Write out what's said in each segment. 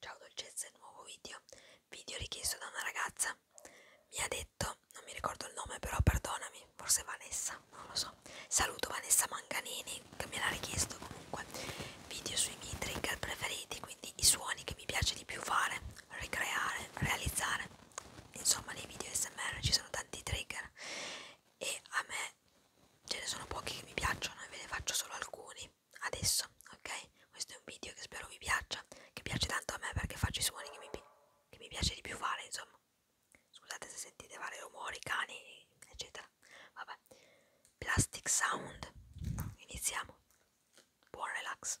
Ciao dolcezze, nuovo video, video richiesto da una ragazza, mi ha detto, non mi ricordo il nome però perdonami, forse Vanessa, non lo so, saluto Vanessa Manganini che me l'ha richiesto comunque, video sui miei trigger preferiti, quindi i suoni che mi piace di più fare, ricreare, realizzare, insomma nei video SMR ci sono tanti trigger e a me ce ne sono pochi che mi piacciono e ve ne faccio solo alcuni adesso, ok? Questo è un video che spero vi piaccia, che piace tanto a me perché faccio i suoni che mi, che mi piace di più fare, insomma. Scusate se sentite vari rumori, cani, eccetera. Vabbè. Plastic sound. Iniziamo. Buon relax.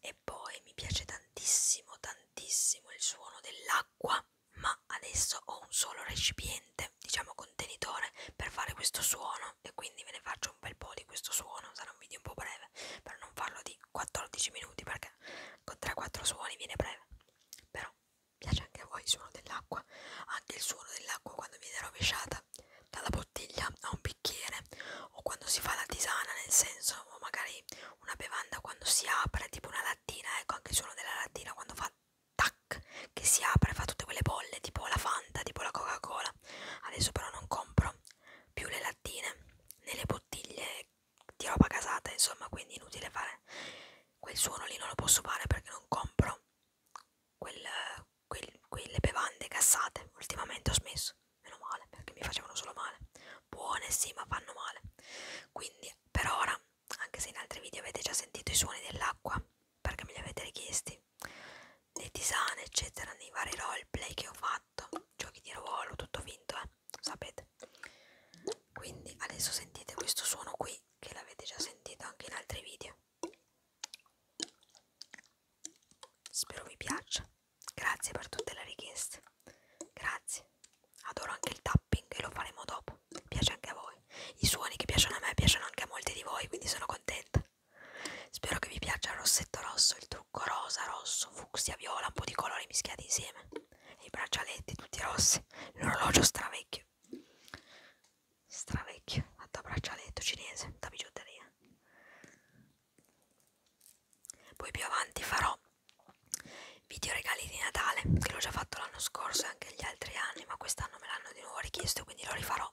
E poi mi piace tantissimo, tantissimo il suono dell'acqua, ma adesso ho un solo recipiente, diciamo contenitore, per fare questo suono e quindi ve ne faccio un bel po' di questo suono, sarà un video un po' breve, per non farlo di 14 minuti perché con 3-4 suoni viene breve, però piace anche a voi il suono dell'acqua, anche il suono dell'acqua quando viene rovesciata dalla bottiglia a un bicchiere o quando si fa la tisana, nel senso, o magari una bevanda quando si apre, tipo una lattina, ecco anche il suono della lattina quando fa tac, che si apre, fa tutte quelle bolle, tipo la Fanta, tipo la Coca-Cola. Adesso però non compro più le lattine nelle bottiglie di roba casata, insomma, quindi inutile fare quel suono lì non lo posso fare perché non compro quel, quel, quelle bevande cassate. Ultimamente ho smesso, meno male, perché mi facevano solo male. Buone sì, ma fanno male. Quindi per ora, anche se in altri video avete già sentito i suoni dell'acqua, perché me li avete richiesti, le tisane, eccetera, nei vari roleplay che ho fatto, giochi di ruolo, tutto vinto, eh, sapete quindi adesso sentite questo suono qui che l'avete già sentito anche in altri video spero vi piaccia grazie per tutte le richieste grazie adoro anche il tapping e lo faremo dopo piace anche a voi i suoni che piacciono a me piacciono anche a molti di voi quindi sono contenta spero che vi piaccia il rossetto rosso il trucco rosa rosso fucsia viola un po' di colori mischiati insieme i braccialetti tutti rossi, l'orologio stravecchio, stravecchio, fatto a braccialetto cinese, da bigiotteria. Poi più avanti farò video regali di Natale, che l'ho già fatto l'anno scorso e anche gli altri anni, ma quest'anno me l'hanno di nuovo richiesto, quindi lo rifarò.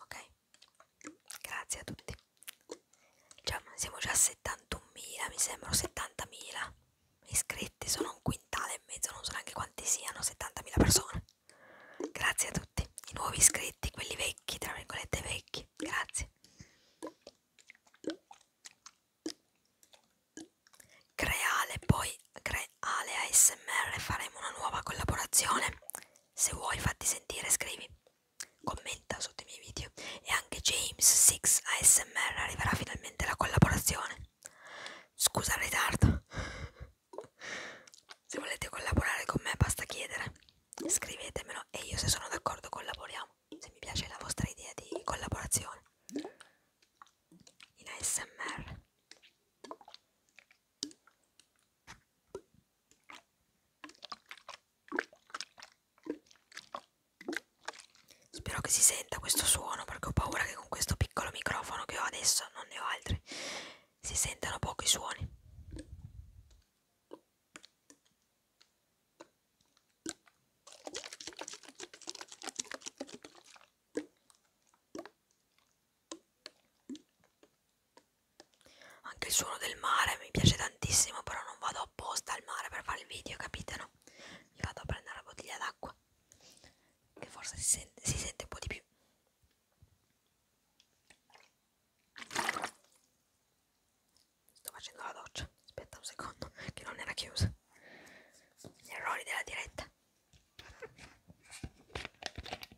Ok? Grazie a tutti. Cioè, siamo già a 71.000, mi sembra, 70.000 iscritti, sono un quintale e mezzo, non so neanche quanti siano, 70.000 persone. Grazie a tutti, i nuovi iscritti, quelli vecchi, tra virgolette vecchi, grazie. Creale, poi Creale ASMR faremo una nuova collaborazione. Se vuoi fatti sentire scrivi. Commenta sotto i miei video. E anche James 6 ASMR arriverà finalmente la collaborazione. Scusa il ritardo. Se volete collaborare con me basta chiedere. Scrivetemelo e io se sono d'accordo collaboriamo. Se mi piace la vostra idea di collaborazione. In ASMR. Spero che si senta questo suono perché ho paura che con questo piccolo microfono che ho adesso, non ne ho altri, si sentano pochi suoni. Anche il suono del mare mi piace tantissimo, però non vado apposta al mare per fare il video, capite no? Mi vado a prendere la bottiglia d'acqua, che forse si sente, si sente un po' di più. Sto facendo la doccia, aspetta un secondo, che non era chiusa. Gli errori della diretta.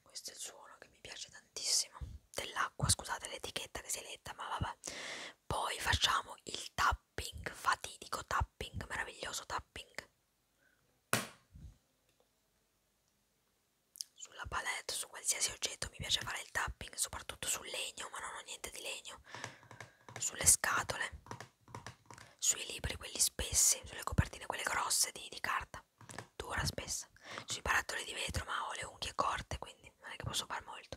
Questo è il suono che mi piace tantissimo dell'acqua, scusate l'etichetta che si è letta, ma vabbè. Poi facciamo il tapping, fatidico tapping, meraviglioso tapping. Sulla palette, su qualsiasi oggetto mi piace fare il tapping, soprattutto tutto sul legno, ma non ho niente di legno, sulle scatole, sui libri, quelli spessi, sulle copertine, quelle grosse di, di carta, dura spessa, sui barattoli di vetro, ma ho le unghie corte, quindi non è che posso far molto.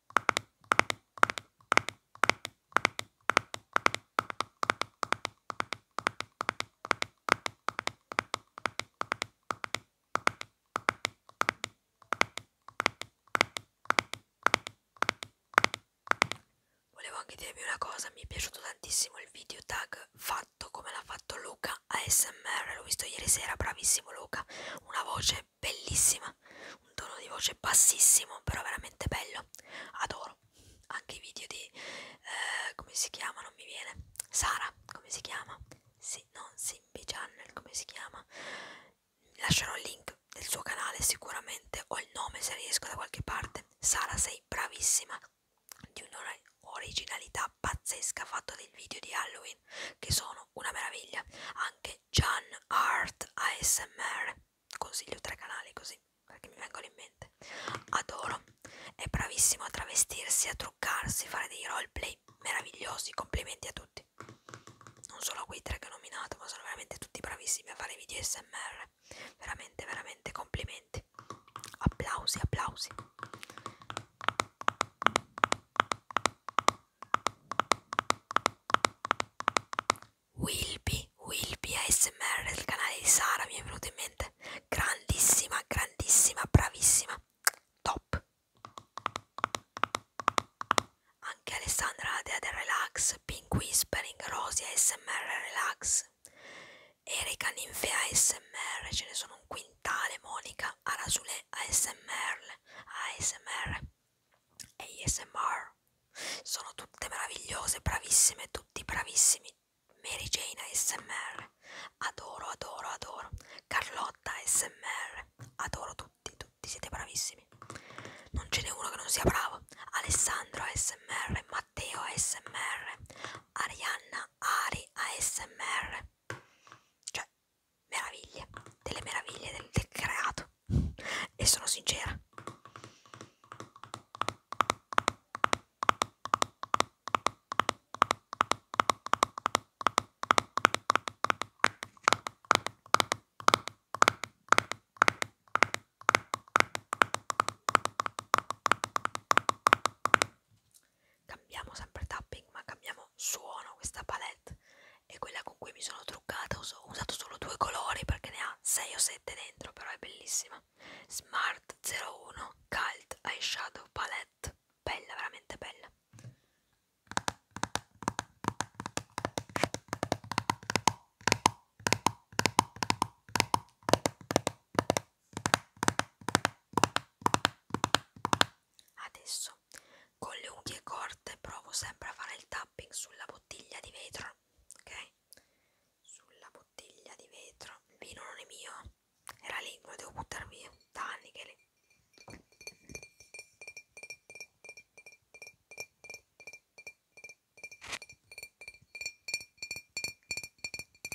Volevo anche dirvi una cosa, mi è piaciuto tantissimo il video tag fatto come l'ha fatto Luca ASMR, l'ho visto ieri sera, bravissimo Luca, una voce è bellissima, un tono di voce bassissimo, però veramente bello. Adoro anche i video di eh, come si chiama? Non mi viene Sara, come si chiama? Sì, non Simbi Channel, come si chiama? Lascerò il link del suo canale sicuramente o il nome se riesco da qualche parte. Sara, sei bravissima di un'originalità pazzesca. Ha fatto dei video di Halloween canali che sono una meraviglia. Anche Gian Art ASMR, consiglio tre canali così perché mi vengono in mente. Adoro, è bravissimo a travestirsi, a truccarsi, fare dei roleplay meravigliosi. Complimenti a tutti. Non solo a quei tre che ho nominato, ma sono veramente tutti bravissimi a fare video ASMR. Veramente, veramente complimenti. Applausi, applausi. Wilby, Wilby ASMR del canale di Sara mi è venuto in mente. Grandissima, grandissima, bravissima. Top. Anche Alessandra la dea del relax, Pink Whispering, Rosia ASMR relax. Erika Ninfea ASMR, ce ne sono un quintale, Monica ara sulle ASMR, ASMR e ASMR sono tutte meravigliose, bravissime, tutti bravissimi. Mary Jane ASMR, adoro, adoro, adoro. Carlotta ASMR, adoro tutti, tutti siete bravissimi. Non ce n'è uno che non sia bravo. Alessandro ASMR, Matteo ASMR, Arianna Ari ASMR. Cioè, meraviglia, delle meraviglie del, del creato. E sono sincera cambiamo sempre tapping ma cambiamo suono questa palette è quella con cui mi sono truccata ho usato solo due colori perché ne ha 6 o 7 dentro però è bellissima Smart 01 Cult Eyeshadow Palette bella veramente bella Adesso con le unghie corte provo sempre a fare il tapping sulla bottiglia di vetro, ok? Sulla bottiglia di vetro. Il vino non è mio, era lì, lo devo buttare via. Da anni che è lì.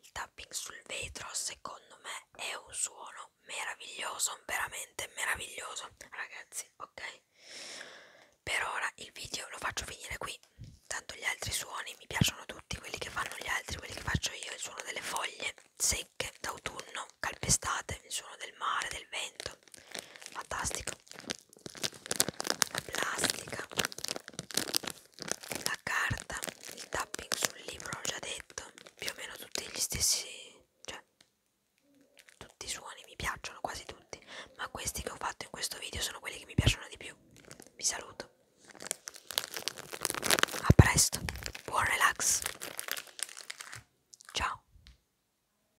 Il tapping sul vetro secondo me è un suono meraviglioso, veramente meraviglioso, ragazzi, ok? Per ora il video lo faccio finire qui, tanto gli altri suoni mi piacciono tutti, quelli che fanno gli altri, quelli che faccio io, il suono delle foglie secche d'autunno, calpestate, il suono del mare, del vento questo fantastico la plastica la carta il tapping sul libro l'ho già detto più o meno tutti gli stessi cioè tutti i suoni mi piacciono quasi tutti ma questi che ho fatto in questo video sono quelli che mi piacciono di più vi saluto a presto buon relax ciao